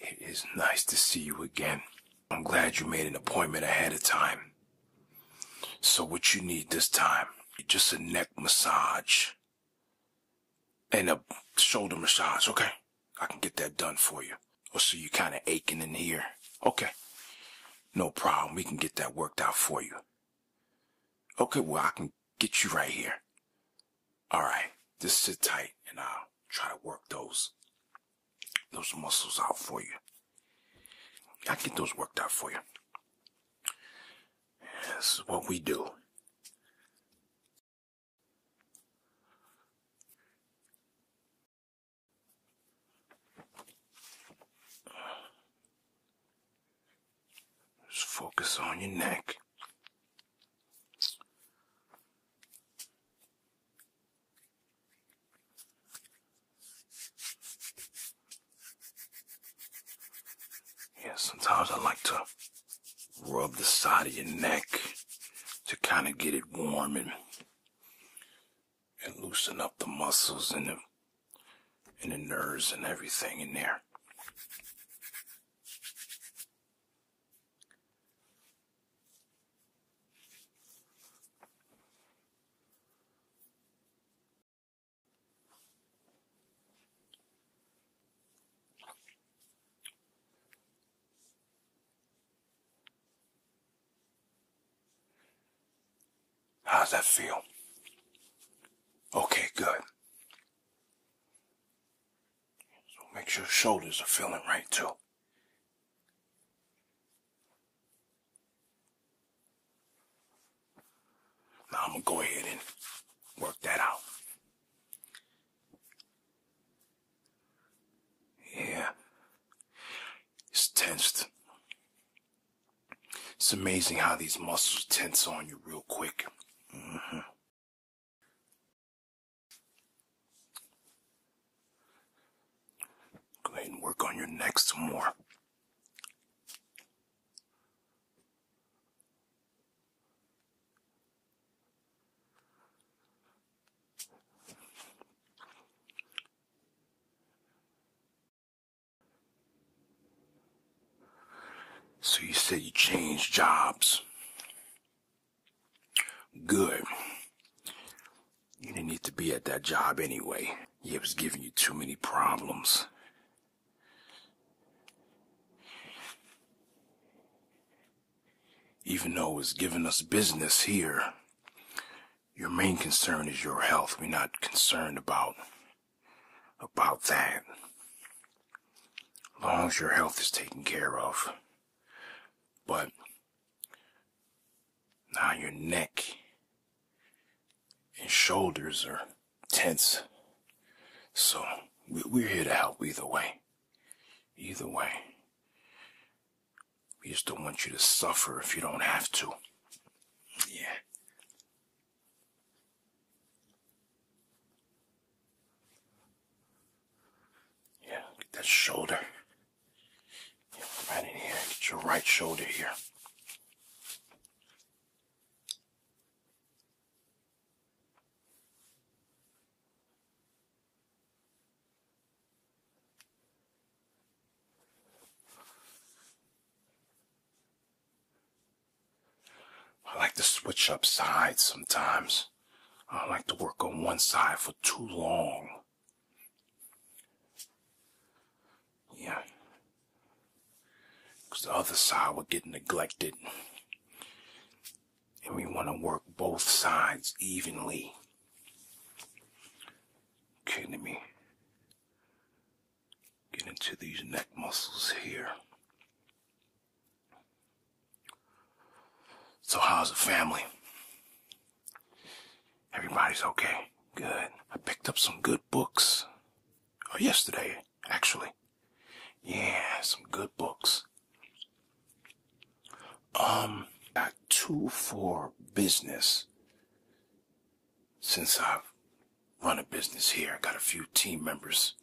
It is nice to see you again. I'm glad you made an appointment ahead of time. So, what you need this time, just a neck massage and a shoulder massage, okay? I can get that done for you. Or oh, so you kind of aching in here. Okay. No problem. We can get that worked out for you. Okay, well, I can get you right here. All right. Just sit tight and I'll try to work those those muscles out for you. I get those worked out for you. This is what we do. Just focus on your neck. Yeah, sometimes I like to rub the side of your neck to kind of get it warm and, and loosen up the muscles and the, and the nerves and everything in there. How does that feel? Okay, good. So make sure shoulders are feeling right too. Now I'm gonna go ahead and work that out. Yeah. It's tensed. It's amazing how these muscles tense on you real quick. Mm-hmm. Go ahead and work on your neck some more. So you said you changed jobs. Good. You didn't need to be at that job anyway. It was giving you too many problems. Even though it's giving us business here, your main concern is your health. We're not concerned about, about that long as your health is taken care of. But now your neck and shoulders are tense. So we're here to help either way. Either way. We just don't want you to suffer if you don't have to. Yeah. Yeah, get that shoulder. right in here. Get your right shoulder here. I like to switch up sides sometimes. I don't like to work on one side for too long. Yeah. Because the other side would get neglected. And we want to work both sides evenly. Okay, let me get into these neck muscles here. So, how's the family? Everybody's okay. Good. I picked up some good books. Oh, yesterday, actually. Yeah, some good books. Um, got two for business. Since I've run a business here, I got a few team members.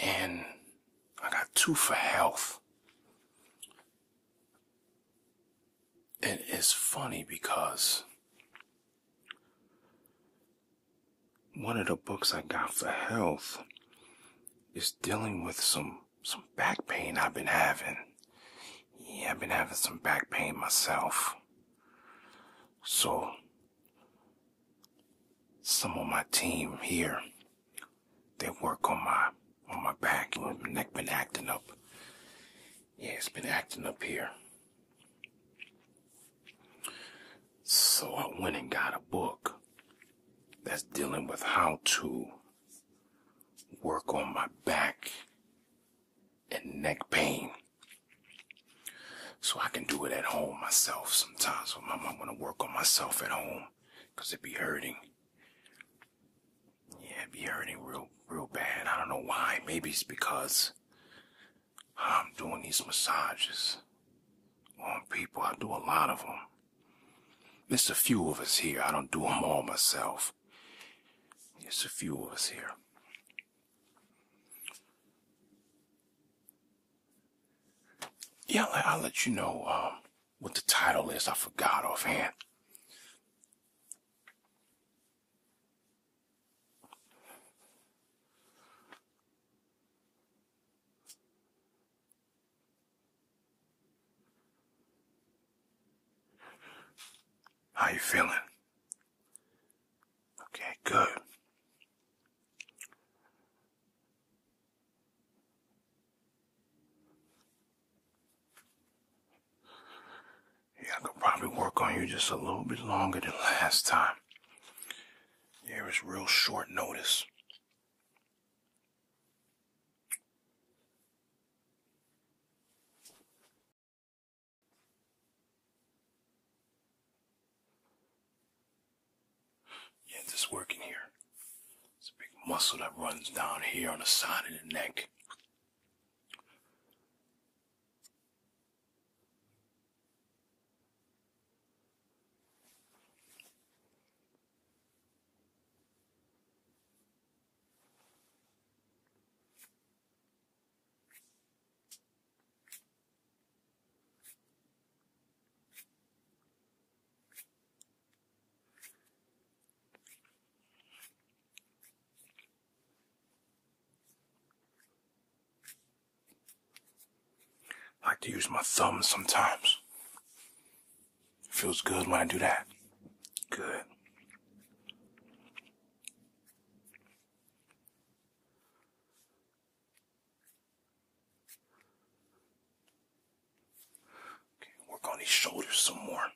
And I got two for health. It is funny because one of the books I got for health is dealing with some some back pain I've been having. Yeah, I've been having some back pain myself. So some of my team here, they work on my on my back. My neck been acting up. Yeah, it's been acting up here. So I went and got a book that's dealing with how to work on my back and neck pain. So I can do it at home myself sometimes. So I'm, i gonna work on myself at home because it be hurting. Yeah, it be hurting real, real bad. I don't know why. Maybe it's because I'm doing these massages on people. I do a lot of them. There's a few of us here. I don't do them all myself. There's a few of us here. Yeah, I'll let you know um, what the title is. I forgot offhand. How you feeling? Okay, good. Yeah, I could probably work on you just a little bit longer than last time. it was real short notice. Yeah, just working here. It's a big muscle that runs down here on the side of the neck like to use my thumb sometimes. It feels good when I do that. Good. Okay, work on these shoulders some more.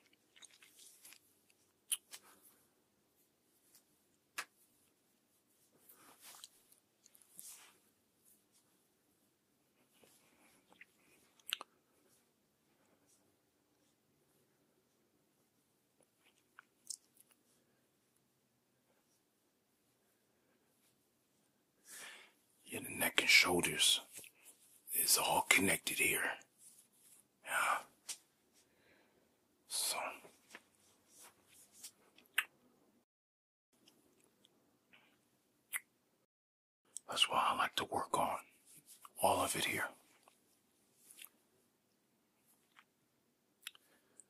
Yeah, the neck and shoulders is all connected here. Yeah. So. That's why I like to work on all of it here.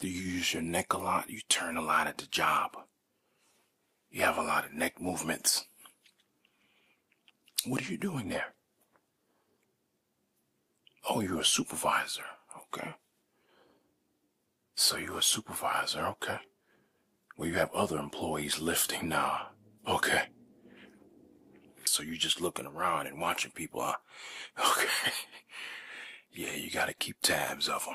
Do you use your neck a lot? You turn a lot at the job. You have a lot of neck movements. What are you doing there? Oh, you're a supervisor. Okay. So you're a supervisor, okay. Well, you have other employees lifting now, okay. So you're just looking around and watching people, huh? Okay. yeah, you gotta keep tabs of them.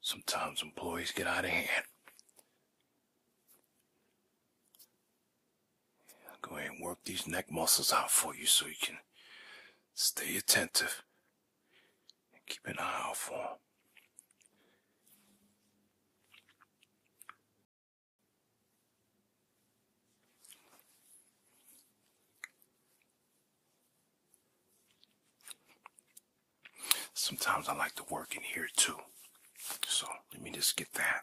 Sometimes employees get out of hand. go ahead and work these neck muscles out for you so you can stay attentive keep an eye out for him. Sometimes I like to work in here too. So let me just get that.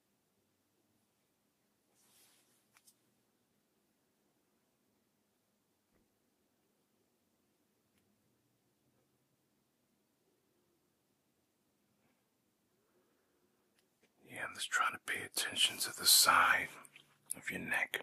Yeah, I'm just trying to pay attention to the side of your neck.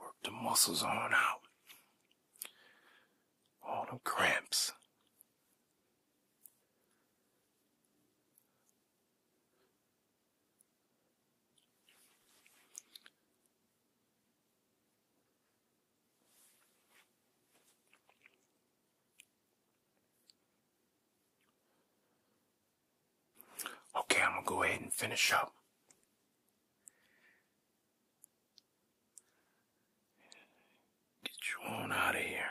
Work the muscles on out. All them cramps. Okay, I'm going to go ahead and finish up. Get you on out of here.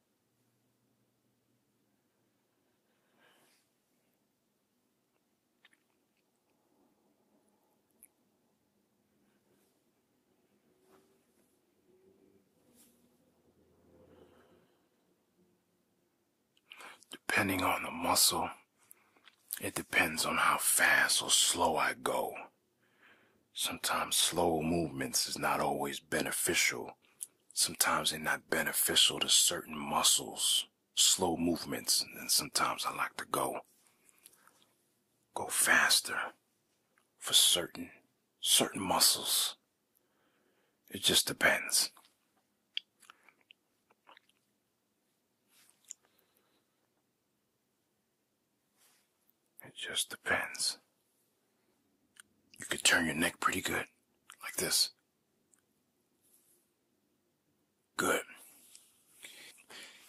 Depending on the muscle, it depends on how fast or slow I go. Sometimes slow movements is not always beneficial Sometimes they're not beneficial to certain muscles, slow movements, and sometimes I like to go go faster for certain certain muscles. It just depends. It just depends. You could turn your neck pretty good, like this. Good.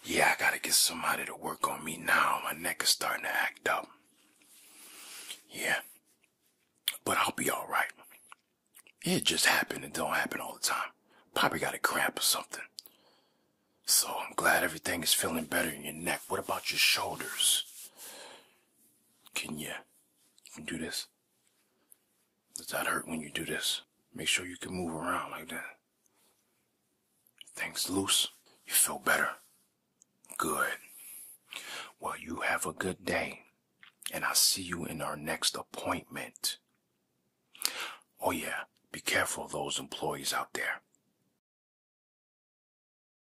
Yeah, I gotta get somebody to work on me now. My neck is starting to act up. Yeah. But I'll be alright. It just happened. and don't happen all the time. Probably got a cramp or something. So I'm glad everything is feeling better in your neck. What about your shoulders? Can you? do this. Does that hurt when you do this? Make sure you can move around like that. Things loose. You feel better. Good. Well, you have a good day. And I'll see you in our next appointment. Oh yeah, be careful of those employees out there.